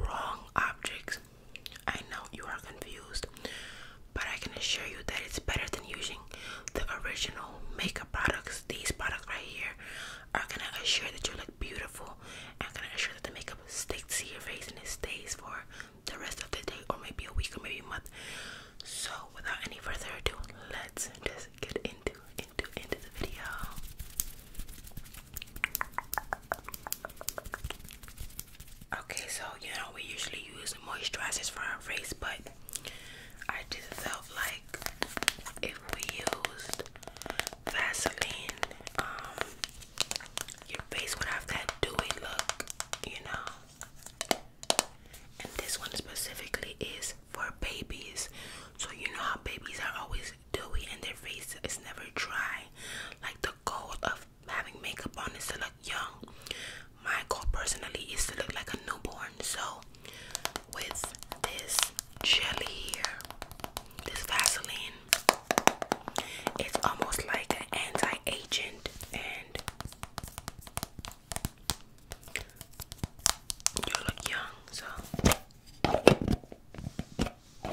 wrong objects. I know you are confused, but I can assure you that it's better than using the original makeup products. These products right here are gonna assure that you look beautiful and gonna assure that the makeup sticks to your face and it stays for the rest of the day or maybe a week or maybe a month. So without any further ado, let's just get into into into the video. Okay, so you know we usually use moisturizers for our face, but I just felt like if we used Vaseline, um, your face would have that dewy look, you know. And this one specifically is for babies. So you know how babies are always dewy and their face is never dry. Like the goal of having makeup on is to look young. My goal personally is to look like a newborn. So with this jelly here, this Vaseline, it's almost like an anti-agent and you look young, so so,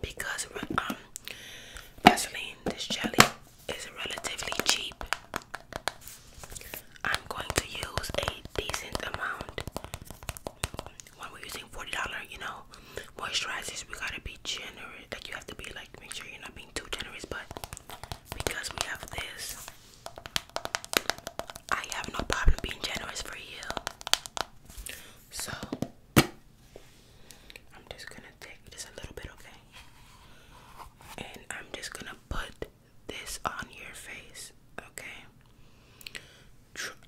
because um, Vaseline, this jelly is relatively cheap, I'm going to use a decent amount when we're using $40, you know, moisturizers, we gotta be generous. Like, you have to be like, make sure you're not being too generous, but because we have this, I have no problem being generous for you. So, I'm just gonna take just a little bit, okay? And I'm just gonna put this on your face, okay?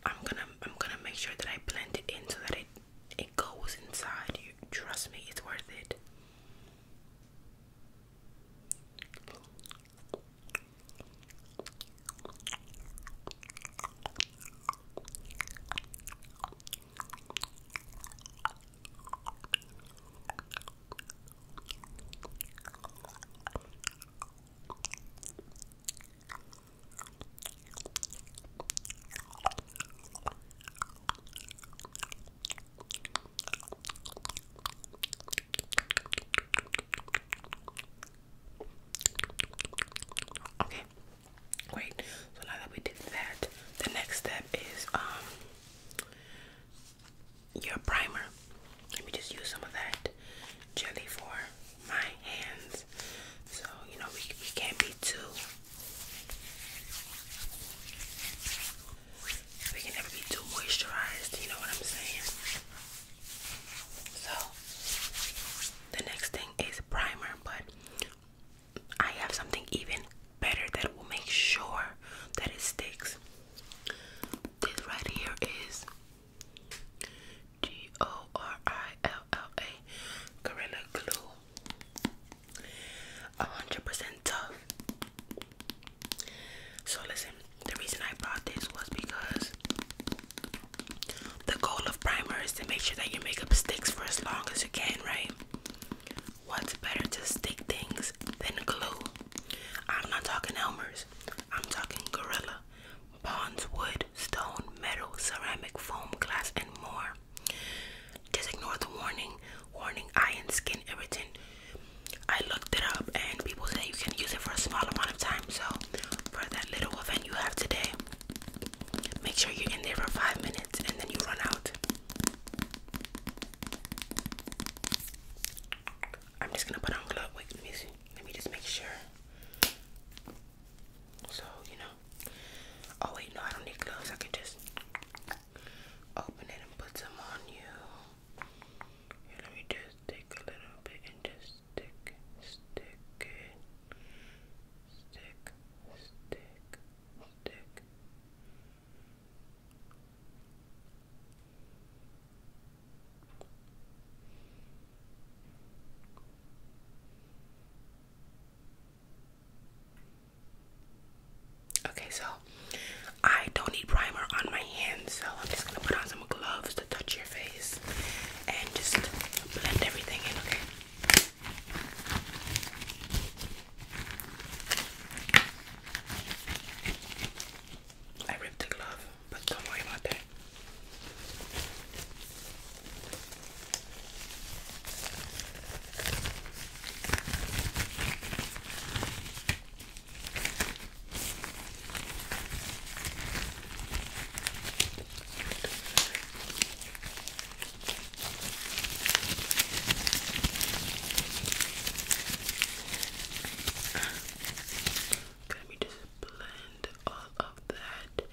I'm gonna I'm gonna make sure that I blend it in so that it it goes inside you. Trust me, it's worth it. Okay, great. So now that we did that, the next step is um, your primer. Let me just use some of that jelly for my hands. So, you know, we, can't be too. We can never be too moisturized, you know what I'm saying? So, the next thing is primer, but I have something even better that will make sure that it sticks. This right here is G O R I L L A Gorilla Glue. A hundred percent tough. So listen, the reason I bought this was because the goal of primer is to make sure that your makeup sticks for as long as you can, right? What's better to stick things than glue? I'm not talking Elmer's. I'm talking Gorilla, Bonds, Wood, Stone, Metal, Ceramic, Foam, Glass, and more. Just ignore the warning. Warning eye and skin irritant. I looked it up and people say you can use it for a small amount of time. So for that little event you have today, make sure you're in there for five minutes and then you run out. I'm just gonna put on glove. Wait, let Let me just make sure. So, you know. Oh, wait, no, I don't need gloves. I can just open it and put some on you. Here, let me just take a little bit and just stick, stick it. Stick, stick, stick. Okay, so I don't need primer on my hands, so I'm just gonna put on some gloves to touch your face and just blend everything in, okay? I ripped the glove, but don't worry about it. Let me just blend all of that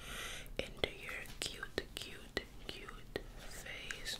into your cute, cute, cute face.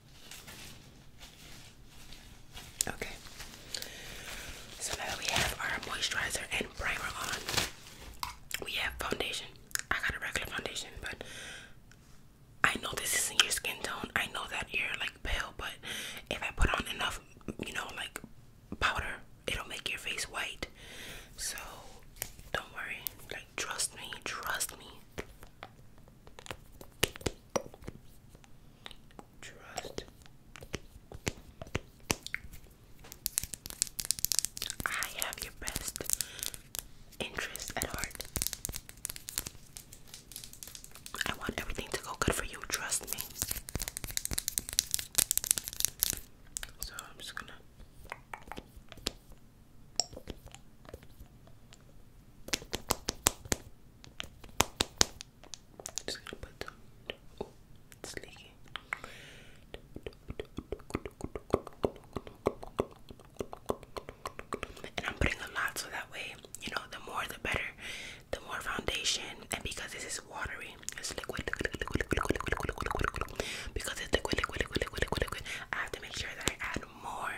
Okay. So now that we have our moisturizer and primer on, we have foundation. I got a regular foundation, but I know this isn't your skin tone. I know that you're like pale, but if I put on enough, you know, like powder, it'll make your face white. So don't worry. Like trust me, trust me. Trust. I have your best interest at heart. I want everything to go good for you, trust me. So I'm just gonna. Just gonna put them. Oh, it's leaking. And I'm putting a lot so that way, you know, the more the better, the more foundation. And because this is watery, it's liquid, because it's liquid, liquid, liquid, liquid, liquid, liquid, I have to make sure that I add more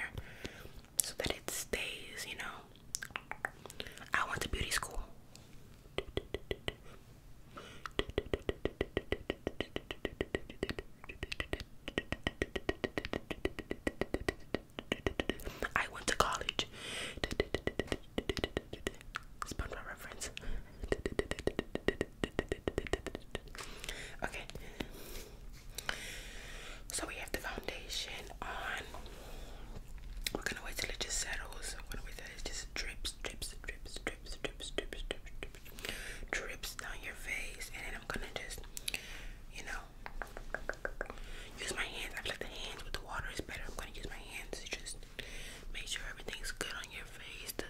so that it stays, you know. I went to beauty school. I went to college. SpongeBob reference. Okay. So we have the foundation on. We're gonna wait till it just settles. We're gonna wait till it just drips, drips, drips, drips, drips, drips, drips, drips, drips down your face, and then I'm gonna just, you know, use my hands. I feel like the hands with the water is better. I'm gonna use my hands to just make sure everything's good on your face, the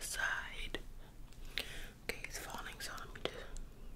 Okay, it's falling, so let me just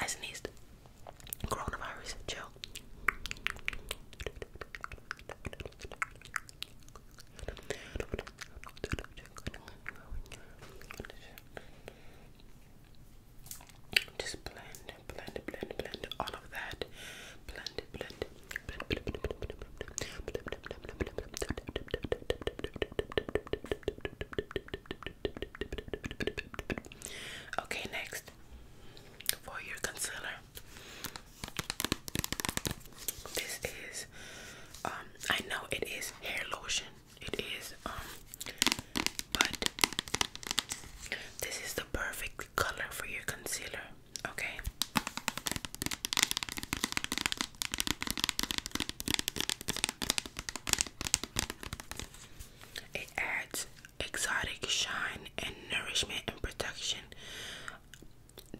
I sneezed. Coronavirus, chill. Just blend, blend, blend, blend all of that. Blend Okay, next for your concealer. This is um I know it is hair lotion. It is um but this is the perfect color for your concealer okay? It adds exotic shine and nourishment and protection.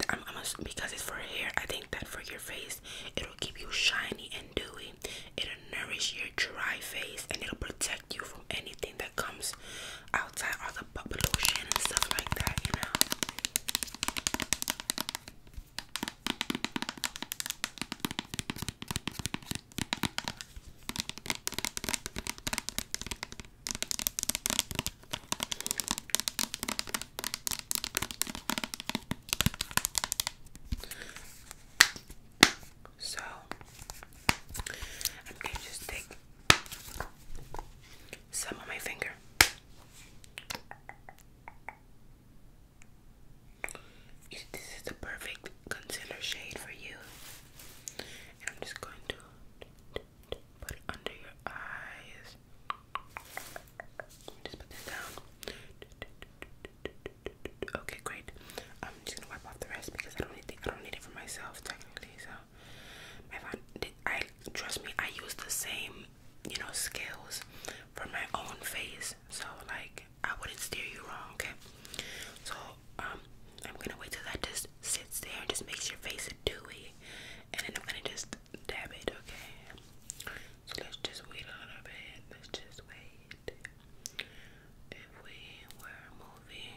I'm, i because it's for hair, I think that for your face, it'll keep you shiny and dewy. It'll nourish your dry face and it'll protect you from anything that comes outside all the pollution and stuff like that, you know. So I'm gonna just take some on my finger. This is the perfect concealer shade for you. I'm just going to put under your eyes. Just put this down. Okay, great. I'm just gonna wipe off the rest because I don't need it. I don't need it for myself technically. So I trust me, I use the same, you know, scales for my own face. So like I wouldn't steer you wrong, okay? So um I'm gonna wait till that just sits there and just makes your face dewy and then I'm gonna just dab it, okay? So let's just wait a little bit. Let's just wait. If we were moving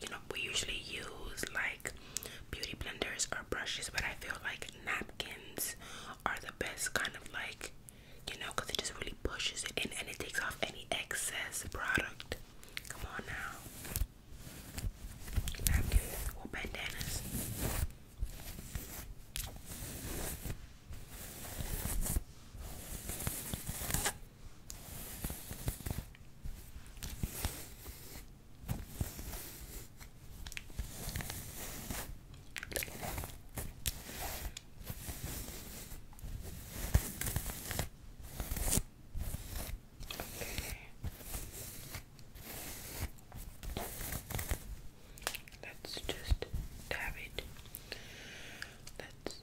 you know we usually use like beauty blenders or brushes but I feel like napkins are the best kind of like you know because it just really pushes it in and it takes off any excess product come on now napkins or bandanas Let's just dab it. Let's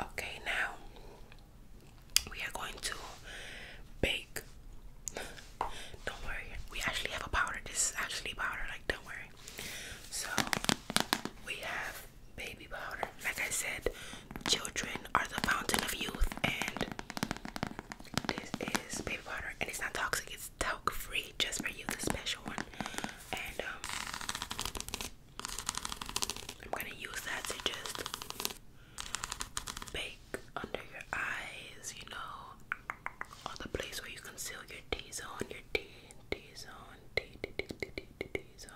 Okay, now we are going to bake. Don't worry, we actually have a powder. This is actually powder, like, don't worry. So, we have baby powder. Like I said, children are the fountain of youth, and this is baby powder, and it's not toxic, it's talc free just for you, the special one and um, I'm gonna use that to just bake under your eyes, you know, or the place where you conceal your T zone, your T T zone, T T T T T, T zone.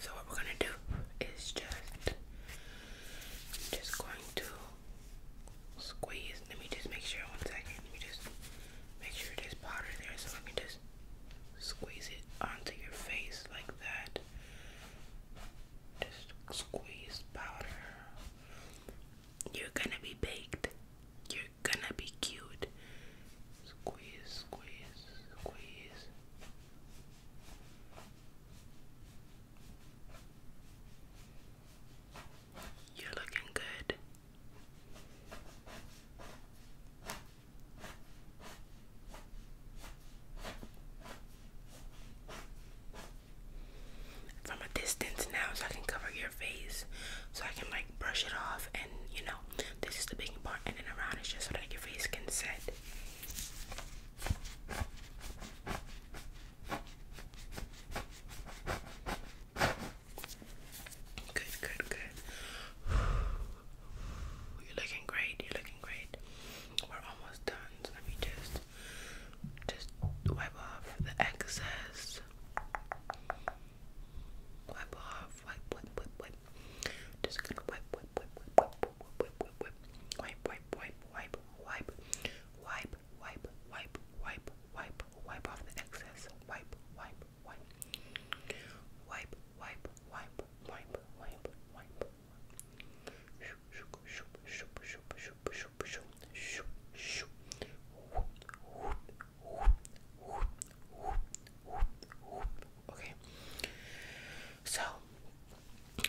So what we're gonna do is just just going to squeeze let me just make sure one second. Let me just make sure there's powder there, so I can just squeeze it onto your face like that. Just squeeze powder. You're gonna be baked. You're gonna be cute. Squeeze, squeeze, squeeze. You're looking good. From a distance now, so I can cover your face, so I can like brush it off, and you know, this is the big part, and then around is just so that your face can set. Good, good, good. You're looking great. You're looking great. We're almost done. So let just just wipe off the excess. Wipe off. Wipe, wipe, wipe, wipe. Just gonna wipe, wipe, wipe, wipe, wipe, wipe, wipe, wipe, wipe, wipe, wipe, wipe, wipe, wipe, wipe, wipe, wipe off the excess. Wipe, wipe, wipe, wipe, wipe, wipe, wipe, wipe, wipe. Shoop, shoop, shoop, shoop, shoop, shoop, shoop, shoop, shoop. Whoop, whoop, whoop, whoop, whoop, whoop, whoop. Okay. So,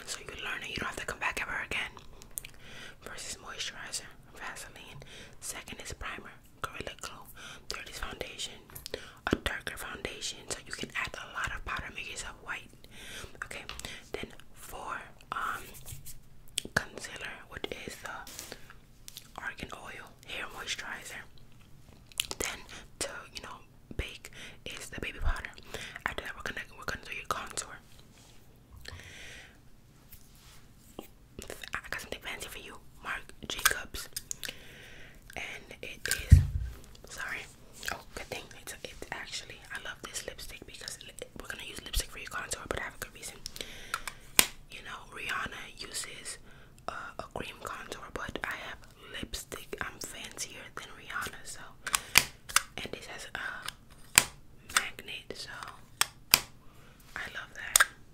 so you learn that you don't have to come back ever again. First is moisturizer, Vaseline. Second is primer, primer, Gorilla Glue, 30s foundation, a darker foundation, so you can add a lot of powder, make yourself white. Okay, then for um concealer, which is the Argan Oil Hair Moisturizer. Then to you know bake is the baby powder. After that, we're gonna we're gonna do your contour. I got something fancy for you, Marc Jacobs, and it is. Sorry. Oh, good thing. It's it's actually. I love this lipstick because we're gonna use lipstick for your contour, but I have a good reason. You know, Rihanna uses uh, a cream contour, but I have lipstick. I'm fancier than Rihanna, so. And it has a magnet, so I love that.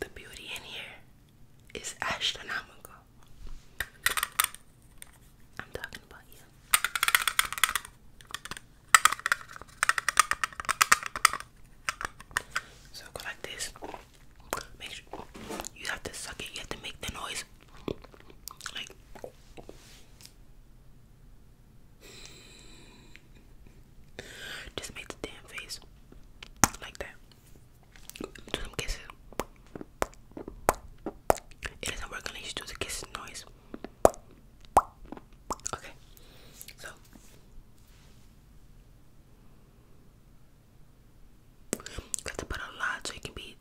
The beauty in here is astronomical. I'm talking about you. So go like this. Make sure you have to suck it. You have to make the noise. Like just make the damn face like that. Do some kisses. It doesn't work unless you do the kiss noise. Okay, so you have to put a lot so it can be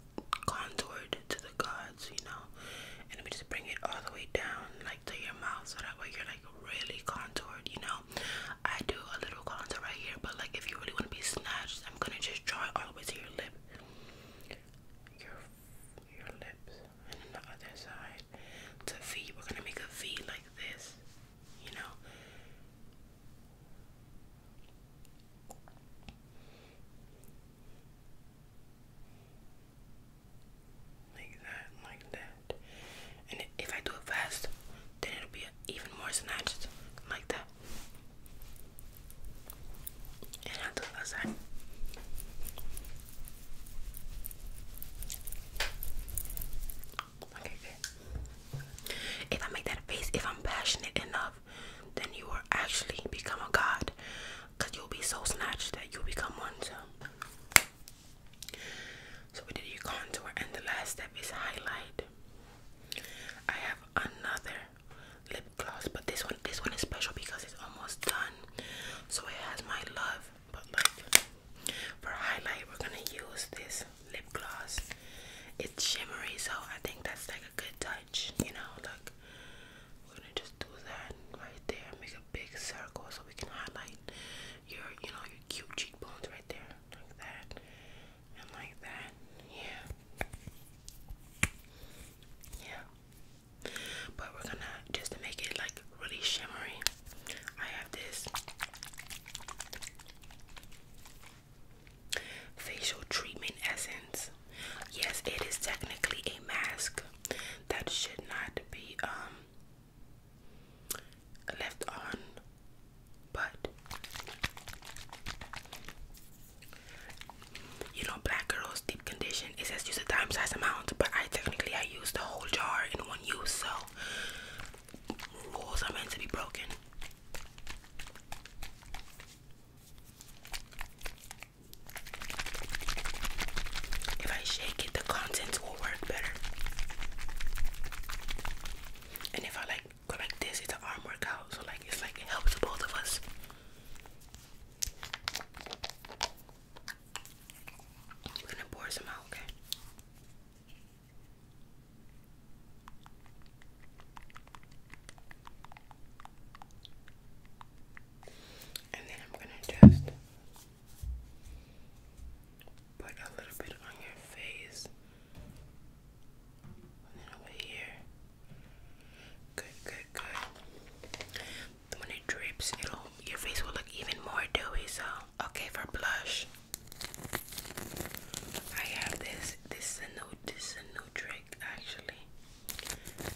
contoured to the gods, you know. And let just bring it all the way down, like to your mouth, so that way you're really contoured, you know. I do a little contour right here, but like if you really want to be snatched, I'm gonna just draw it all the way to your lip. your lips. And then the other side. To V. We're gonna make a V like this. You know. Like that, like that. And if I do it fast, then it'll be even more snatched, like that. And i do the other side. Okay, If I make that face, if I'm passionate enough, then you will actually become a god. Because you'll be so snatched that you become one too. So we did your contour, and the last step is highlight. I have another lip gloss, but this one, this one is special because it's almost done. So it has my love, but like for highlight, we're gonna use this lip gloss. It's shimmery, so I think that's like a good touch. You know, like we're gonna just do that right there, make a big circle so we can highlight your, you know, your cute cheekbones right there, like that, and like that. Yeah, yeah. But we're gonna just to make it like really shimmery. I have this facial treatment essence. Yes, it is technically a mask that should not be um left on, but you know, black girls deep condition. It says use a dime sized amount, but I technically I use the whole jar in one use, so rules are meant to be broken. If I shake the content will work better. And if I like go like this, it's an arm workout, so like it's like it helps both of us. I'm gonna pour some out, okay? And then I'm gonna just Put a little bit on your face. then over here. Good, good, good. when it drips, it'll your face will look even more dewy. So okay for blush. I have this. This is a new this is a new trick actually.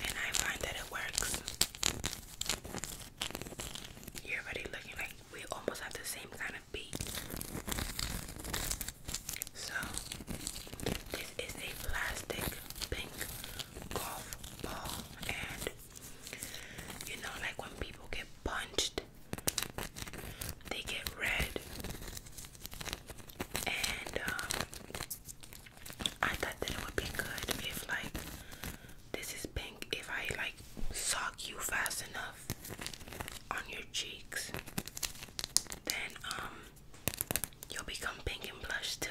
And I find that it works. You're already looking like we almost have the same kind of beat. So, this is a plastic pink golf ball, and you know, like when people get punched, they get red. And um, I thought that it would be good if, like, this is pink if I like sock you fast enough on your cheeks. Then um you'll become pink and blush too.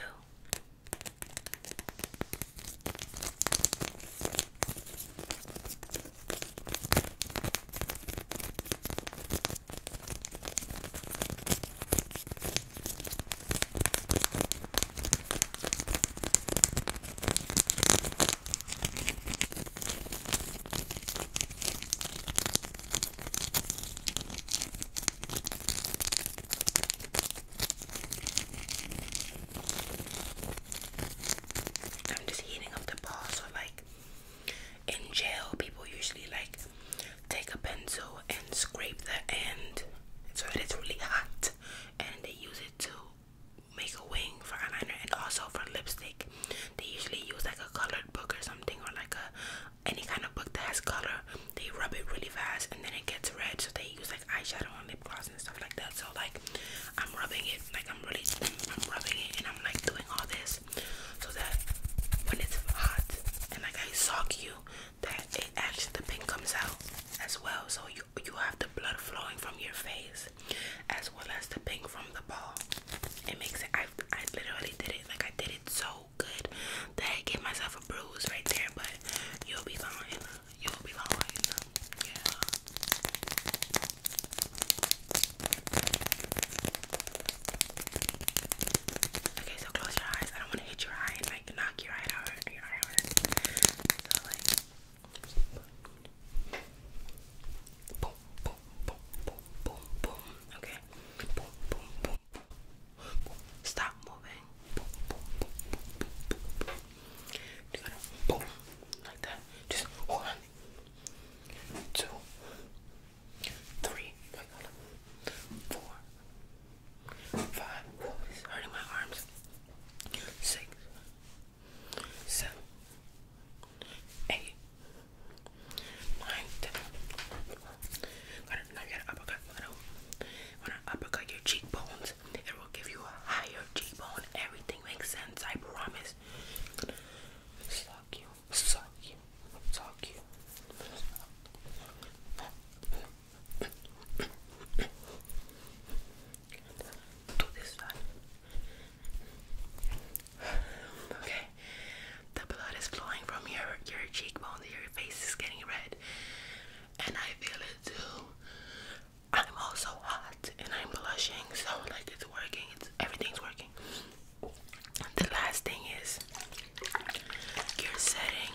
I'm just heating up the ball so like in jail people usually like take a pencil and scrape the end so that it's really hot and they use it to make a wing for eyeliner and also for lipstick. They usually use like a colored book or something or like a any kind of book that has color. They rub it really fast and then it gets red so they use like eyeshadow on lip gloss and stuff like that. So like I'm rubbing it like I'm really I'm rubbing it and I'm like doing all this so that when it's hot and like I sock you that it actually the pink comes out as well. So you you have the blood flowing from your face as well as the pink from the ball. It makes it. I I literally did it like I did it so good that I gave myself a bruise right there. But you'll be fine. You'll be fine. Yeah. Okay, so close your eyes. I don't want to hit your eye and like knock your eye out darling. Boom, boom, boom, boom, boom, boom. Okay. Boom, boom, boom. boom. Stop moving. Boom, boom, boom, boom, boom like that. Just one, two, three, four, Five. It's hurting my arms. Six. Seven. Eight. now you gotta uppercut. Gotta, uppercut your cheekbones. It will give you a higher cheekbone. Everything makes sense. I promise. Suck you. Suck you. Suck you. Okay, the blood is flowing from your your cheekbones. Your face is getting red, and I feel it too. I'm also hot and I'm blushing, so like it's working. It's everything's working. The last thing is you're setting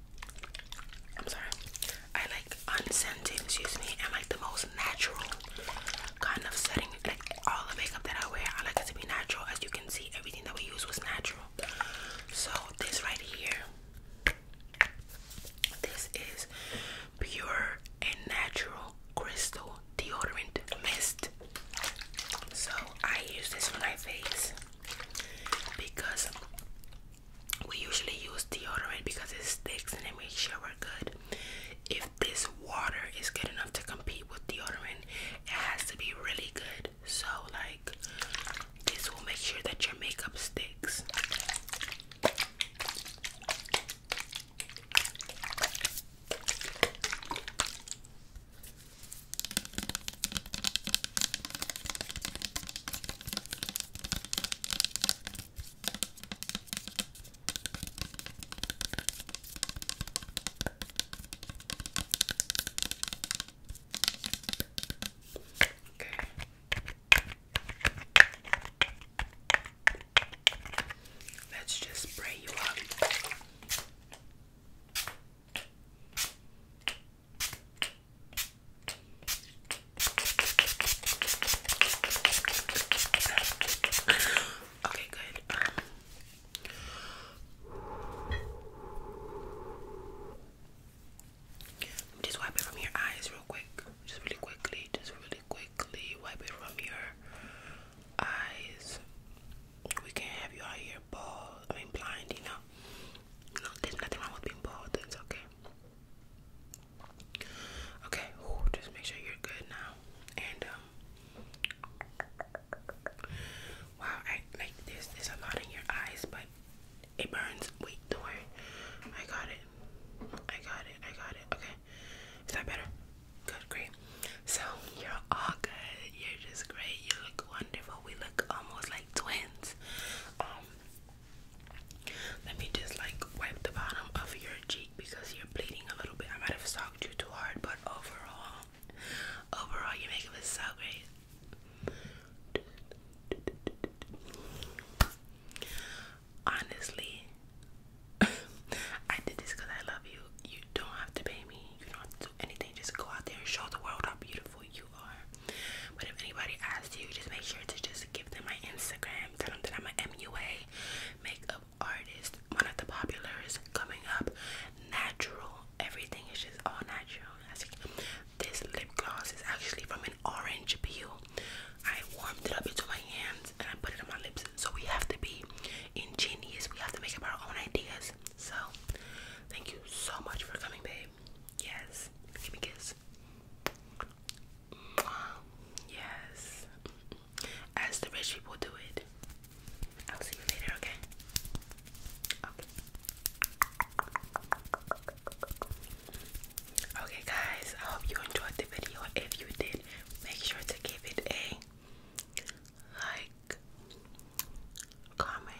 I'm sorry. I like unscented, excuse me, and like the most natural kind of setting. Like all the makeup that I wear, I like it to be natural. As you can see, everything that we use was natural. So this right here, this is pure and natural crystal deodorant mist. So I use this on my face because we usually use deodorant because it sticks and it makes sure we're good. If this water is good enough to compete with deodorant, it has to be really good. So, like, this will make sure that your makeup sticks. Okay. Let's just spray you up. Okay, good. Just wipe it from your eyes real quick. Just really quickly. Just really quickly wipe it from your eyes. We can't have you out here ball. I mean blind, you know. Look, there's nothing wrong with being bald. It's okay. Okay, just make sure you're good now. And um, wow, like there's there's a lot in your eyes, but it burns. Wait, don't worry. I got it. I got it. I got it. Okay, is that better? Good, great. So you're all good. You're just great. You look wonderful. We look almost like twins. Um, let me just like wipe the bottom of your cheek because you're bleeding a little bit. I might have socked you too hard, but overall, overall, your makeup is so great. Honestly, I did this because I love you. You don't have to pay me. You don't have to do anything. Just go out there and show the world how beautiful you are. But if anybody asks you, just make sure to just give them my Instagram. Tell them that I'm an MUA makeup artist, one of the populars coming up. Natural, everything is just all natural. This lip gloss is actually from an orange peel. I warmed it up into my hands and I put it on my lips. So we have to be ingenious. We have to make up our own ideas. So, thank you so much for coming, babe. Yes. Give me a kiss. Yes. As the rich people do it. I'll see you later, okay? Okay. Okay, guys, I hope you enjoyed the video. If you did, make sure to give it a like, comment,